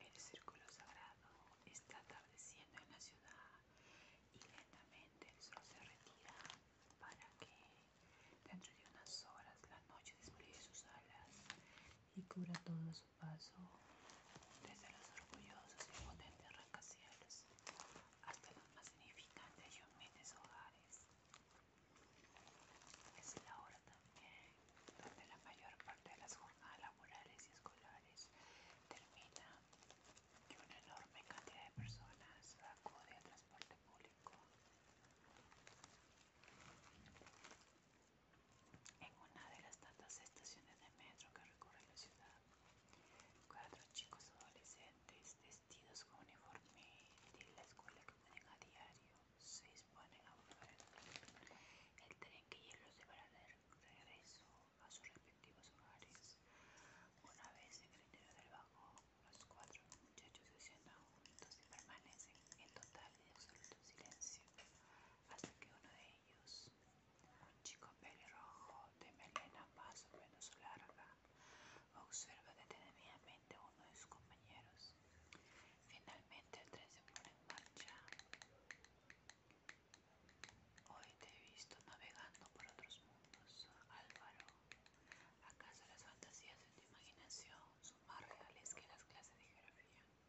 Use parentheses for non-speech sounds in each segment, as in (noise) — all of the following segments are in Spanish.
El círculo sagrado está atardeciendo en la ciudad y lentamente el sol se retira para que dentro de unas horas la noche despliegue sus alas y cubra todo su paso desde los orgullosos y potentes rancacielos hasta los más significantes y humildes hogares. Es la hora también donde la mayor parte de las jornadas laborales y escolares termina y una enorme cantidad de personas acude al transporte público. En una de las tantas estaciones de metro que recorre la ciudad, cuatro chicos adolescentes vestidos con uniforme de la escuela que ponen a diario se disponen a volver el tren que lleva los llevará de regreso a sus respectivos hogares. Una vez en el interior del vagón, los cuatro muchachos se sientan juntos y permanecen en total y absoluto silencio hasta que uno de ellos, un chico pelirrojo de melena más o menos larga, observa detenidamente de uno de sus compañeros. Finalmente el tren se pone en marcha. Hoy te he visto navegando por otros mundos, Álvaro. ¿Acaso las fantasías de tu imaginación son más reales que las clases de geografía?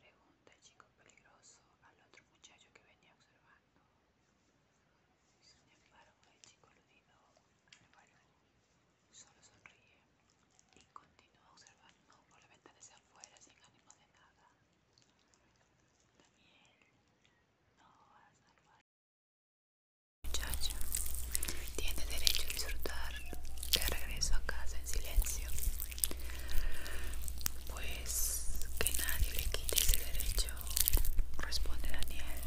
Pregunta el chico peligroso al otro muchacho que venía a observar grabando. Sin embargo, el chico aludido al solo sonríe y continúa observando por la ventana hacia afuera sin ánimo de nada. También no va a salvar. Muchacho, tiene derecho a disfrutar de regreso a casa en silencio, pues que nadie le quite ese derecho responde Daniel.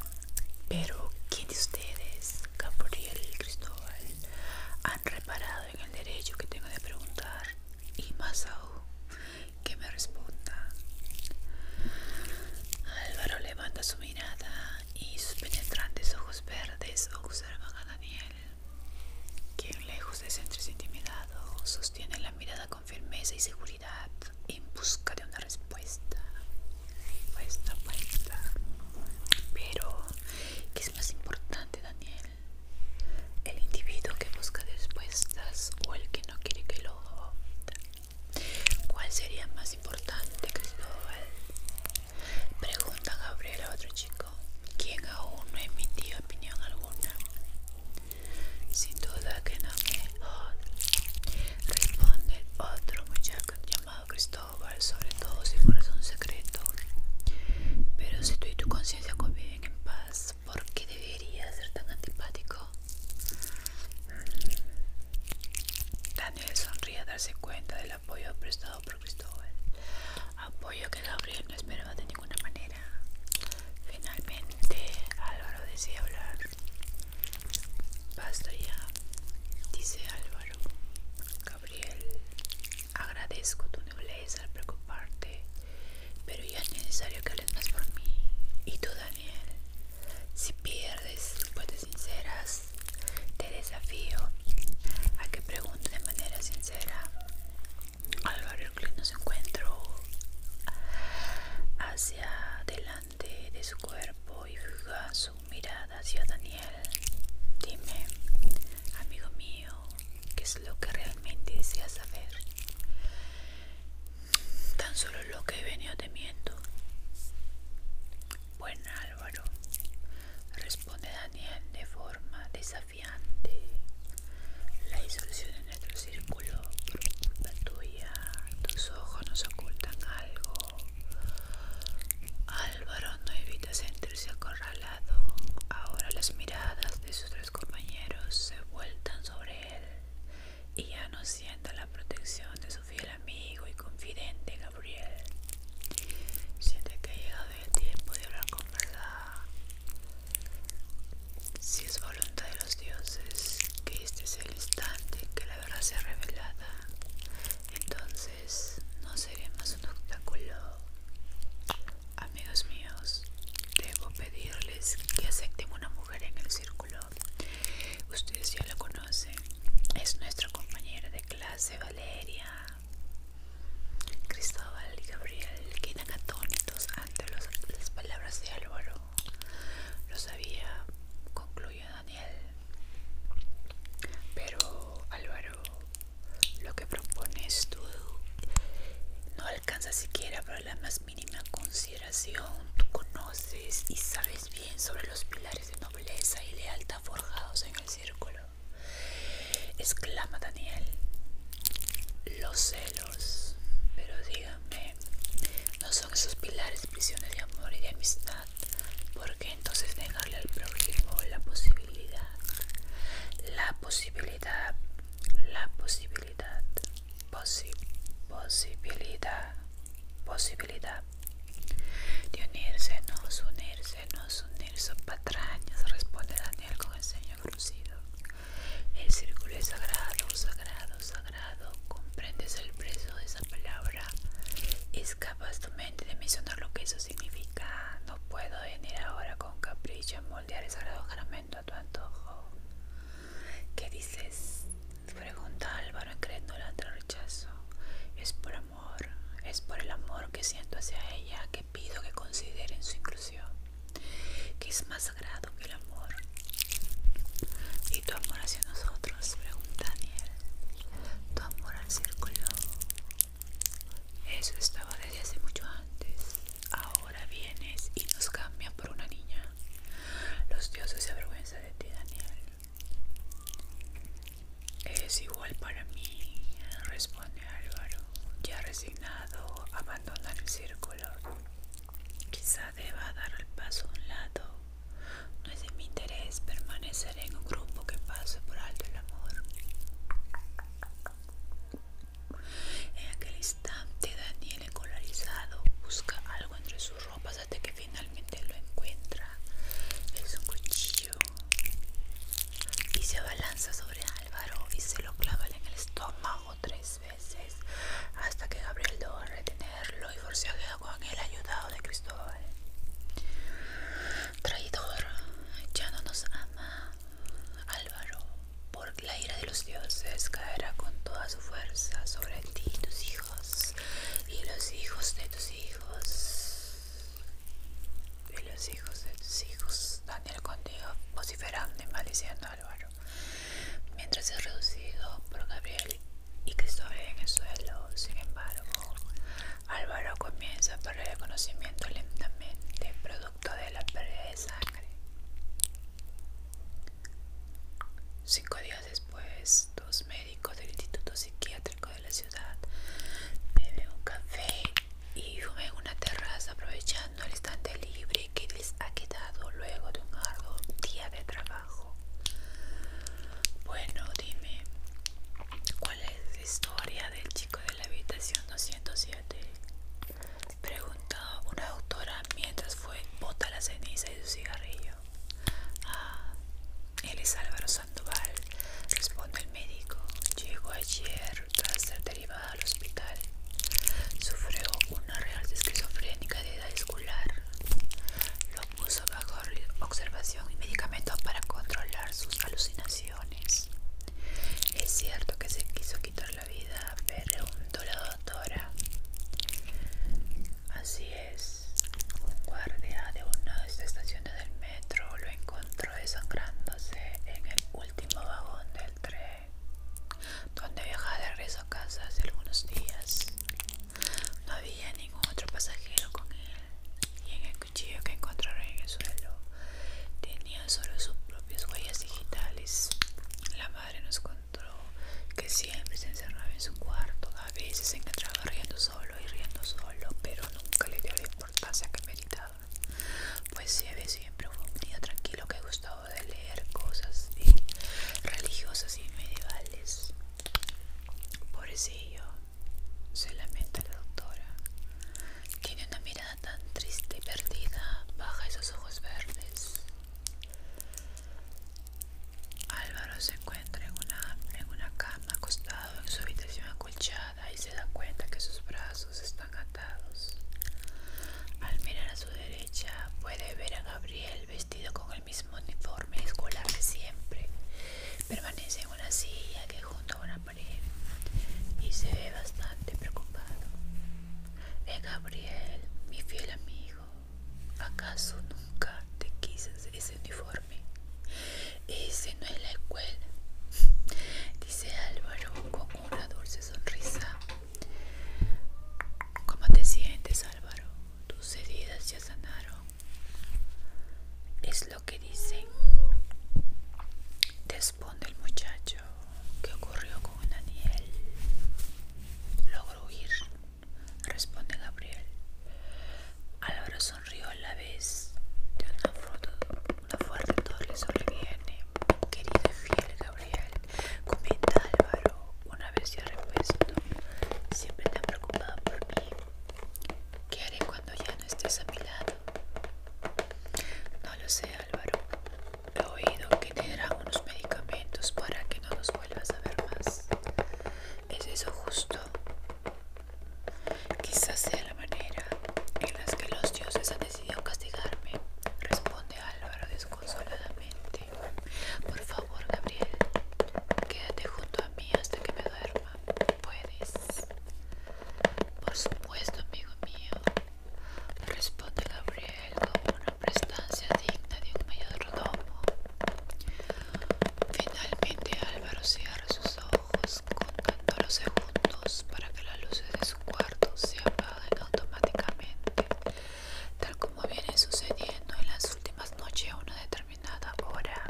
Pero, ¿quién de ustedes, Gabriel y Cristóbal, han reparado en el derecho que tengo de preguntar? Y más aún, que me responda. Álvaro levanta su mirada y sus penetrantes ojos verdes observan a Daniel, quien lejos de sentirse intimidado, sostiene la mirada con firmeza y seguridad en busca de una respuesta. Respuesta, respuesta. Pero, ¿qué es más importante, Daniel? ¿El individuo que busca respuestas o el que no quiere que lo haga? ¿Cuál sería más importante, Cristóbal? Pregunta Gabriel a otro chico, quien aún no emitió opinión alguna. Sin duda que no me... Responde otro muchacho llamado Cristóbal sobre todo si fuera un secreto. Pero si tú y tu conciencia conviven en paz, ¿por qué deberías ser tan antipático? Daniel sonríe a darse cuenta del apoyo prestado por Cristóbal. Apoyo que Gabriel no esperaba de ninguna manera. Finalmente, Álvaro decide hablar. Basta ya, dice Álvaro. Gabriel, agradezco tu nobleza al preocuparte, pero ya es necesario que hables más por mí. Y tú, Daniel, si pierdes puedes sinceras, te desafío a que pregunte de manera sincera. Álvaro que nos encuentro hacia adelante de su cuerpo y fija su mirada hacia Daniel. Dime, amigo mío, ¿qué es lo que realmente deseas saber? Tan solo lo que he venido temiendo. Buen Álvaro, responde Daniel de forma desafiante. La disolución de nuestro círculo a tus ojos nos ocultan algo. Álvaro no evita sentirse acorralado. Ahora las miradas de sus tres compañeros se vueltan sobre él y ya no sienta la protección de su fiel amigo y confidente Gabriel. Siente que ha llegado el tiempo de hablar con verdad. Si es voluntad de los dioses que este es el instante en que se sea revelada, entonces no seremos un obstáculo. Amigos míos, debo pedirles que acepten una mujer en el círculo. Ustedes ya la conocen. Es nuestra compañera de clase, Valeria. Cristóbal y Gabriel quedan atónitos ante las palabras de Álvaro. Lo sabía concluido Daniel. Pero Álvaro, lo que propones tú no alcanza siquiera para la más mínima consideración. Tú conoces y sabes bien sobre los pilares de nobleza y lealtad forjados en el círculo. Exclama Daniel. Los celos. Pero díganme, no son esos pilares prisiones de amor y de amistad, porque entonces negarle al prójimo la posibilidad, la posibilidad, la posibilidad, posibilidad, posibilidad de unirse, nos unirse, nos unirse, patrañas, responde Daniel con el ceño crucido. El círculo es sagrado, sagrado, sagrado comprendes el precio de esa palabra, escapas tu mente de mencionar lo que eso significa. No puedo venir ahora con capricho a moldear el sagrado a tu antojo. ¿Qué dices? Pregunta Álvaro incrédulamente al rechazo. Es por amor, es por el amor que siento hacia ella que pido que consideren su inclusión. ¿Qué es más sagrado el amor y tu amor hacia nosotros, pregunta Daniel. Tu amor al círculo. Eso estaba desde hace mucho antes. Ahora vienes y nos cambias por una niña. Los dioses se avergüenzan de ti, Daniel. Es igual para mí, responde Álvaro, ya resignado, abandonar el círculo. quizás deba dar el paso a un lado. No es de mi interés permanecer en un grupo que pase por alto el amor. En aquel instante Daniel escolarizado busca algo entre sus ropas hasta que finalmente lo encuentra. Es un cuchillo y se abalanza sobre Álvaro y se lo clava en el estómago tres veces hasta que Gabriel logró retenerlo y forcejeó con el ayudado de Cristóbal. Traidor, ya no nos ama. Álvaro, porque la ira de los dioses caerá con toda su fuerza sobre ti y tus hijos y los hijos de tus hijos y los hijos de tus hijos. Daniel contigo vociferando y maldiciendo a Álvaro mientras es reducido por Gabriel y que en el suelo. Sin embargo, Álvaro comienza a perder el conocimiento lentamente, producto de la pérdida de sangre. Cinco días después, dos médicos del Instituto Psiquiátrico de la ciudad beben un café y fumen una terraza aprovechando el instante libre que les ha quedado luego de un largo día de trabajo. Bueno, dime, ¿cuál es la historia del chico de la habitación 207? Pregunta una doctora mientras fue bota la ceniza y su cigarrillo. Ah, él es Álvaro Sandoval, responde el médico. Llegó ayer tras ser derivado al hospital. Sufrió una real esquizofrénica de Escular escolar lo puso bajo observación y medicamentos para controlar sus alucinaciones. Es cierto que se quiso quitar la vida, preguntó la doctora. Así es, un guardia de una de estas estaciones del metro lo encontró desangrándose en el último vagón del tren, donde viajaba de regreso a casa hace algunos días. No había ningún otro pasajero con él, y en el cuchillo que encontraron en el suelo tenía solo sus propias huellas digitales. La madre nos contó que siempre se encerraba en su cuarto, a veces se encontraba riendo solo y riendo solo, pero nunca le dio la importancia que meritaba. Pues siempre fue un niño tranquilo que gustaba de leer cosas religiosas y medievales. Pobrecillo, se lamenta la doctora. Tiene una mirada tan triste y perdida. Baja esos ojos verdes. Álvaro se encuentra en una, en una cama acostado en su habitación acolchada y se da cuenta que sus brazos están atados. Al mirar a su derecha puede ver a Gabriel vestido con mismo uniforme escolar de siempre. Permanece en una silla que junto a una pared y se ve bastante preocupado. Eh, Gabriel, mi fiel amigo, ¿acaso nunca te quiso ese uniforme? Ese no es la escuela, (laughs) dice Álvaro con una dulce sonrisa. ¿Cómo te sientes, Álvaro? tus heridas ya sanaron. Es lo que dicen. Responde el muchacho. ¿Qué ocurrió con Daniel? Logró huir. Responde Gabriel. Álvaro sonrió a la vez de una, foto, una fuerte torre sobreviene. Querido y fiel Gabriel, comenta Álvaro una vez ya repuesto, siempre te preocupada preocupado por mí. ¿Qué haré cuando ya no estés a mi lado? No lo sé, Álvaro. He oído que te unos medicamentos para que no nos vuelvas a ver más. ¿Es eso justo? Quizás sea la manera en la que los dioses han decidido castigarme, responde Álvaro desconsoladamente. Por favor, Gabriel, quédate junto a mí hasta que me duerma. ¿Puedes? Por supuesto, amigo mío, responde Gabriel con una prestancia digna de un mayordomo. Finalmente Álvaro cierra sus ojos contando los segundos para que las luces de su cuarto se apaguen automáticamente tal como viene sucediendo en las últimas noches a una determinada hora.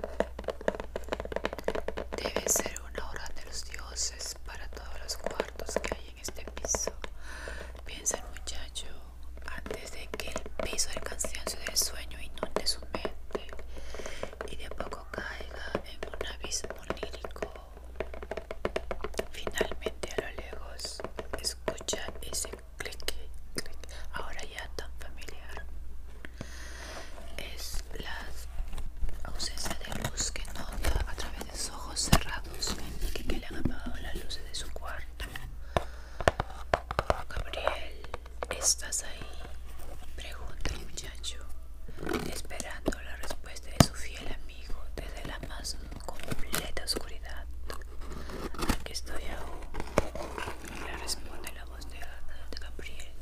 Debe ser una hora de los dioses para todos los cuartos que hay en este piso, piensa el muchacho, antes de que el piso del cansancio del sueño inunde su mente y de poco caiga en un abismo lírico. Finalmente a lo lejos escucha ese Ahora ya tan familiar es la ausencia de luz que nota a través de sus ojos cerrados que, que le han apagado las luces de su cuarto. Gabriel, estás ahí, pregunta el muchacho, esperando la respuesta de su fiel amigo desde la más completa oscuridad. Aquí estoy aún. Le responde la voz de, de Gabriel.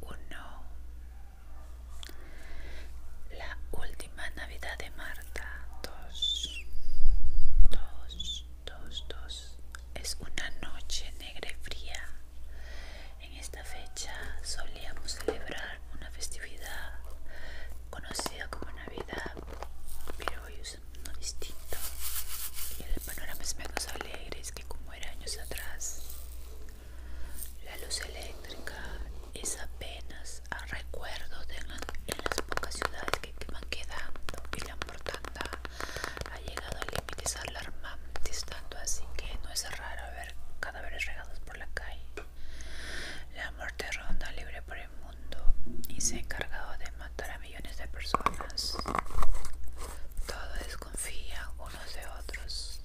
Uno. La última Navidad de Mar. 2 dos, dos, dos, dos. Es una noche negra y fría. En esta fecha solíamos celebrar una festividad conocida como Navidad, pero hoy es uno distinto. Y el panorama es menos alegre es que como era años atrás. La luz eléctrica es apenas a recuerdo de las pocas ciudades que, te van quedando y la mortandad ha llegado a límites alarma distando así que no es raro ver cadáveres regados por la calle la muerte ronda libre por el mundo y se ha encargado de matar a millones de personas todos desconfían unos de otros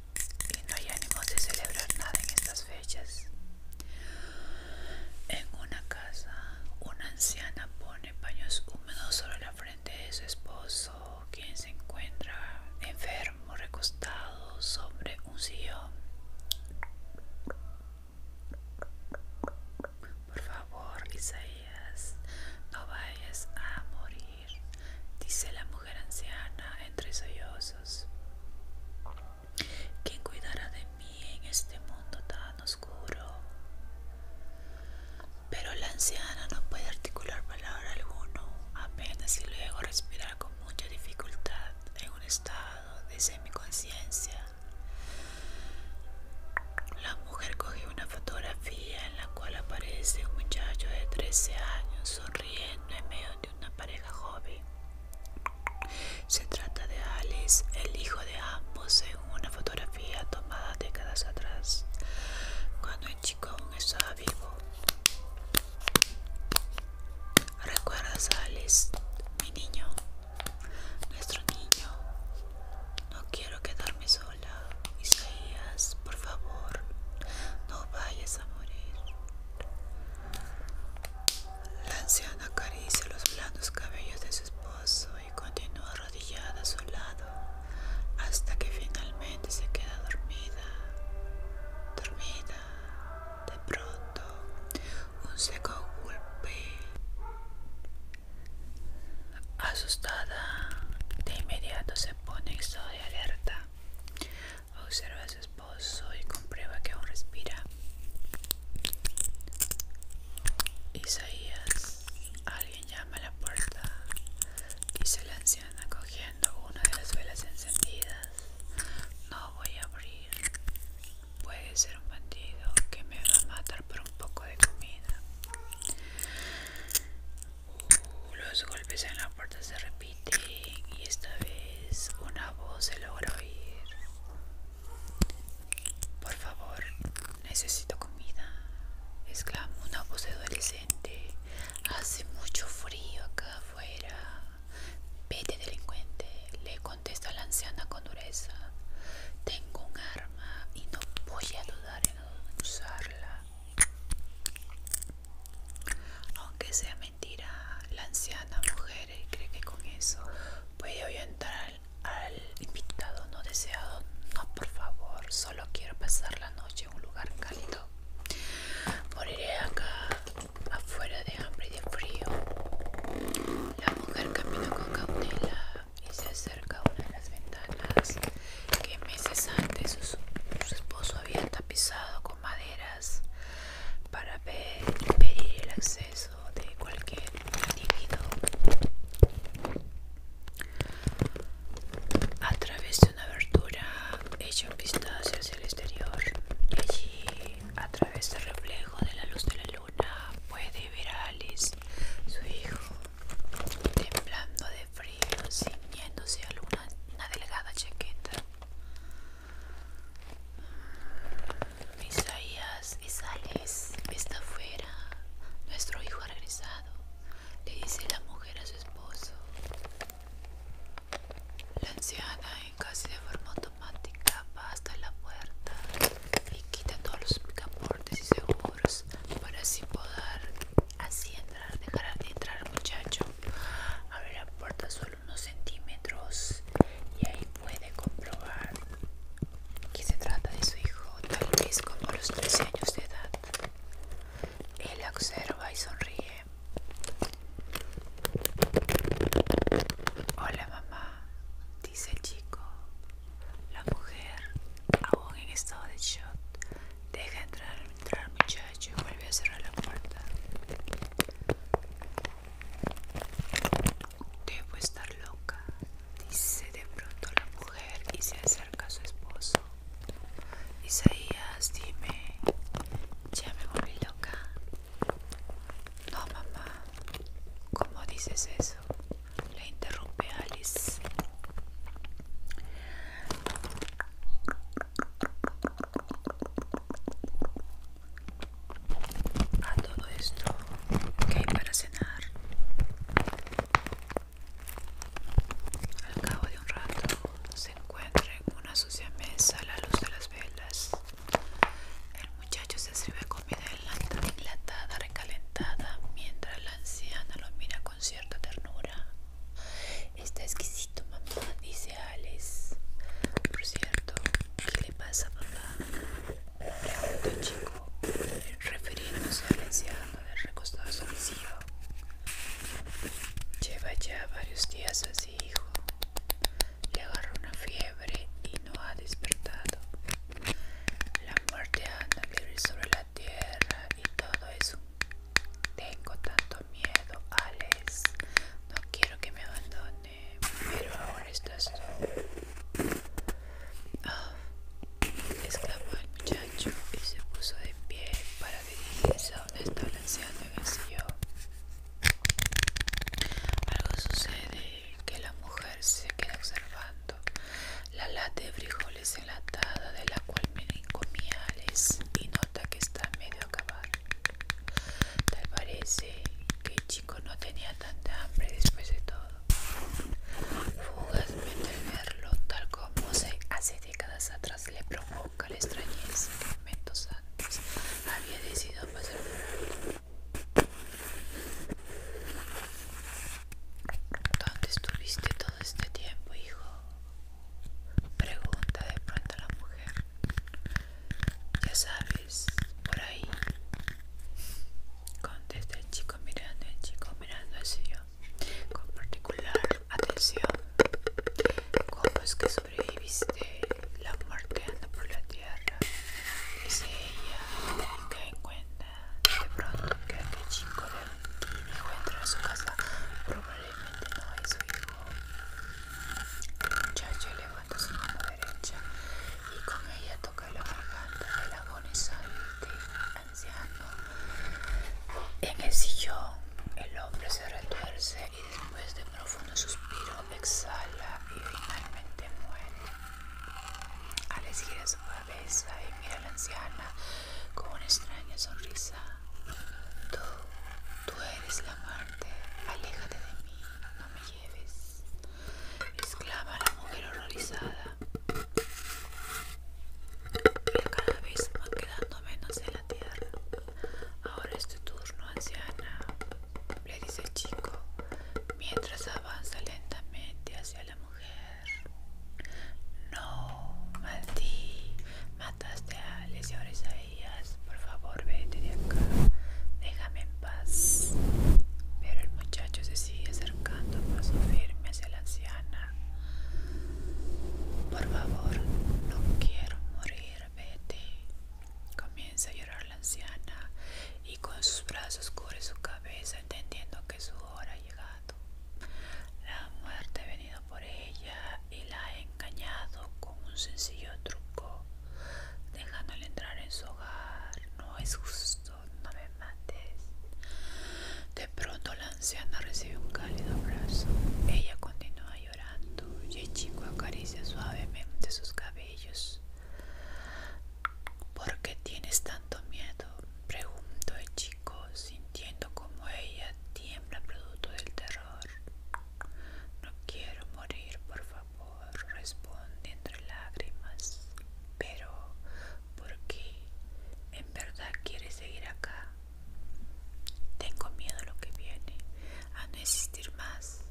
y no hay ánimos de celebrar nada en esta fechas. En una casa, una anciana pone paños húmedos sobre la frente de su esposo, quien se encuentra enfermo, recostado sobre un sillón. Por favor, Isaías, no vayas a morir, dice la mujer anciana entre sollozos. ¿Quién cuidará de mí en este mundo tan oscuro? Pero la anciana no puede articular palabra alguna, apenas y luego respirar con mucha dificultad en un estado de semiconciencia. La mujer cogió una fotografía en la cual aparece un muchacho de 13 años sonriendo en medio de una pareja joven. Se trata de Alex, el hijo de ambos, en una fotografía tomada décadas atrás, cuando el chico aún estaba vivo. ¿Recuerdas a Alice, mi niño? Nuestro niño. No quiero quedarme sola. Isaías, por favor, no vayas a morir. La anciana acaricia los blandos cabellos de su esposo y continúa arrodillada a su lado hasta que finalmente se queda dormida. Dormida. De pronto, un seco golpe. Asustada, de inmediato se pone en de alerta. Observa a su esposo y comprueba que aún respira. Isaías, alguien llama a la puerta, dice la anciana cogiendo una de las velas encendidas. No voy a abrir. Puede ser un bandido que me va a matar por un poco de comida. Uh, los golpes en la puerta se repiten y esta vez una voz se logra oír. Por favor, necesito comida, exclama una voz de adolescente. Hace mucho frío acá afuera. Vete, delincuente, le contesta la anciana con dureza. Tengo un arma y no voy a dudar en usarla. Aunque sea mentira la anciana mujer eh, cree que con eso puede hoy entrar al invitado no deseado. No, por favor, solo quiero pasar la noche en un lugar cálido. Moriré acá afuera de hambre y de frío. La mujer camina con cautela y se acerca a una de las ventanas que meses antes su, esposo había tapizado con maderas para impedir el acceso de cualquier a través de una abertura echa un vistazo hacia el exterior y allí a través del reflejo de la luz de la luna puede ver a Alice su hijo temblando de frío ciñéndose a una, una delgada chaqueta Isaías y Sales está fuera, nuestro hijo regresado, le dice la mujer a su esposo. La anciana en casi de forma automática va hasta la puerta y quita todos los picaportes y seguros para así poder así entrar, dejar de entrar al muchacho. Abre la puerta solo unos centímetros y ahí puede comprobar que se trata de su hijo, tal vez como a los 13 años de edad. Él observa y sonríe. Hola mamá, dice el chico. La mujer, aún en estado de shock, deja entrar, entrar al muchacho y vuelve a cerrar la puerta. Debo estar loca, dice de pronto la mujer y se acerca a su esposo. Isaías, dime, ¿ya me volví loca? No, mamá, ¿cómo dices eso? Le interrumpe Alice a todo esto que hay para cenar al cabo de un rato se encuentra en una sucia mesa a la luz de las velas el muchacho se sirve comida enlatada recalentada mientras la anciana lo mira con cierta ternura está exquisito mamá dice Alice por cierto ¿Qué le pasa, papá? Preguntó el chico, refiriéndose al anciano del recostado suicidio. Lleva ya varios días así, hijo. Le agarró una fiebre y no ha despertado. La muerte anda libre sobre la tierra y todo eso. Tengo tanto miedo, Alex. No quiero que me abandone pero ahora estás tú. Ah, exclamó el muchacho y se puso de pie para dirigirse a donde está balanceando en el sillón. Algo sucede que la mujer se queda observando la lata de frijoles enlatada de la cual me comía y nota que está medio acabada Tal parece que el chico no tenía tanta hambre después de todo. Fugazmente verlo, tal como se hace décadas atrás, le provoca la extrañeza que momentos antes había decidido pasar por ¿Dónde estuviste todo este tiempo, hijo? Pregunta de pronto a la mujer. Ya sabes, por ahí contesta el chico mirando el chico mirando el yo con particular atención cómo es que sobreviviste la muerte anda por la tierra dice ella cae en cuenta de pronto que aquel chico de encuentra a su casa probablemente no es su hijo muchacho levanta su mano derecha y con ella toca la garganta del agonizante anciano. En el sillón, el hombre se retuerce y después de un profundo suspiro exhala y finalmente muere. Alex gira su cabeza y mira a la anciana con una extraña sonrisa. Tú, tú eres la muerte, aléjate de mí, no me lleves exclama la mujer horrorizada. cada vez quedando menos en la tierra. Ahora es tu turno, anciana, le dice el chico, mientras avanza lentamente hacia la mujer. No, Maldí, mataste a Alex y ahora es a ella por favor vete de acá, déjame en paz. Pero el muchacho se sigue acercando a paso firme hacia la anciana. Por favor, no quiero morir, vete. Comienza a llorar la anciana y con sus brazos cubre su cabeza entendiendo que su hora ha llegado. La muerte ha venido por ella y la ha engañado con un sencillo truco dejándole entrar en su hogar. No es justo, no me mates. De pronto la anciana recibe un cálido abrazo. Ella continúa llorando y el chico acaricia suavemente sus cabellos. ¿Por qué tienes tanto miedo? Pregunto el chico, sintiendo como ella tiembla producto del terror. No quiero morir, por favor responde entre lágrimas. Pero, ¿por qué? ¿En verdad quieres seguir acá? Tengo miedo a lo que viene, a no existir más,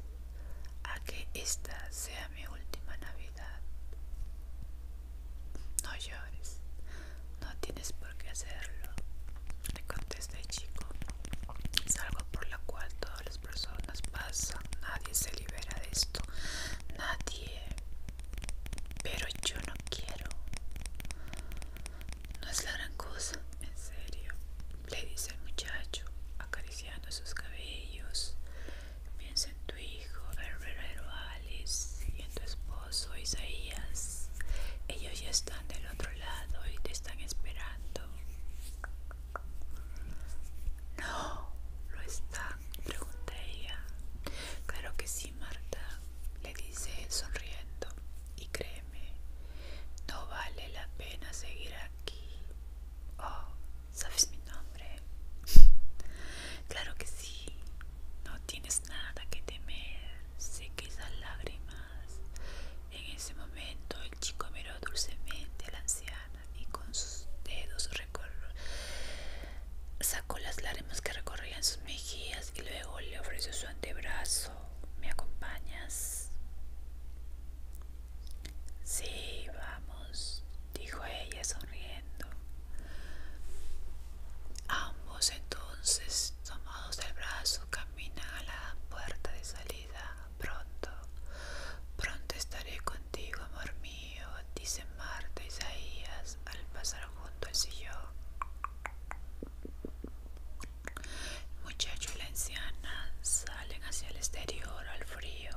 a que esta sea mi última Navidad. No llores, no tienes por qué hacerlo, le contesta chico. Es algo por la cual todos los personas pasan, nadie se libera de esto, nadie. Pero yo no quiero. No es la gran cosa, en serio, le dice el muchacho, acariciando sus cabellos. Piensa en tu hijo, el Alice, y en tu esposo Isaías. Ellos ya están del otro lado y te están esperando. No, lo está, pregunta ella. Claro que sí, Marta, le dice sonriendo. Y créeme, no vale la pena seguir aquí. Oh, ¿sabes mi nombre? claro que sí, no tienes nada que temer. Sé que esas lágrimas. En ese momento el chico miró dulcemente al anciano y con sus dedos sacó las lágrimas que recorrían sus mejillas y luego le ofreció su antebrazo. ¿Me acompañas? Sí, vamos, dijo ella sonriendo. Ambos entonces, tomados del brazo, caminan a la puerta de salida pronto, pronto estaré contigo, amor mío, dice Marta Isaías al pasar junto al sillón. muchachos muchacho y la anciana salen hacia el exterior al frío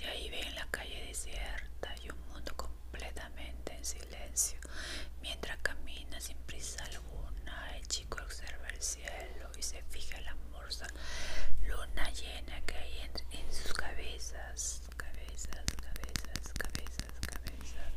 y ahí ven la calle desierta y un mundo completamente en silencio mientras camina sin prisa alguna observa el cielo y se fija la morsa luna llena que hay en, en sus cabezas, cabezas, cabezas, cabezas, cabezas.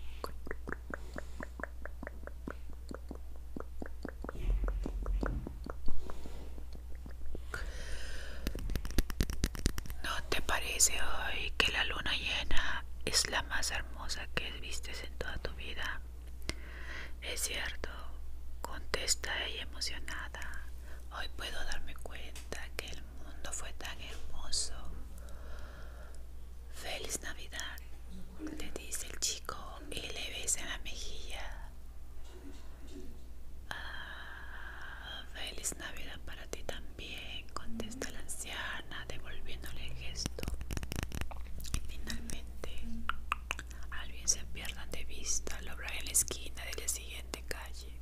¿No te parece hoy que la luna llena es la más hermosa que vistes en toda tu vida? Es cierto, contesta ella emocionada. Hoy puedo darme cuenta que el mundo fue tan hermoso. Feliz Navidad, le dice el chico y le besa la mejilla. Ah, feliz Navidad para ti también, contesta la anciana devolviéndole el gesto. Y finalmente Alguien se pierda de vista, lo en la esquina de la siguiente calle.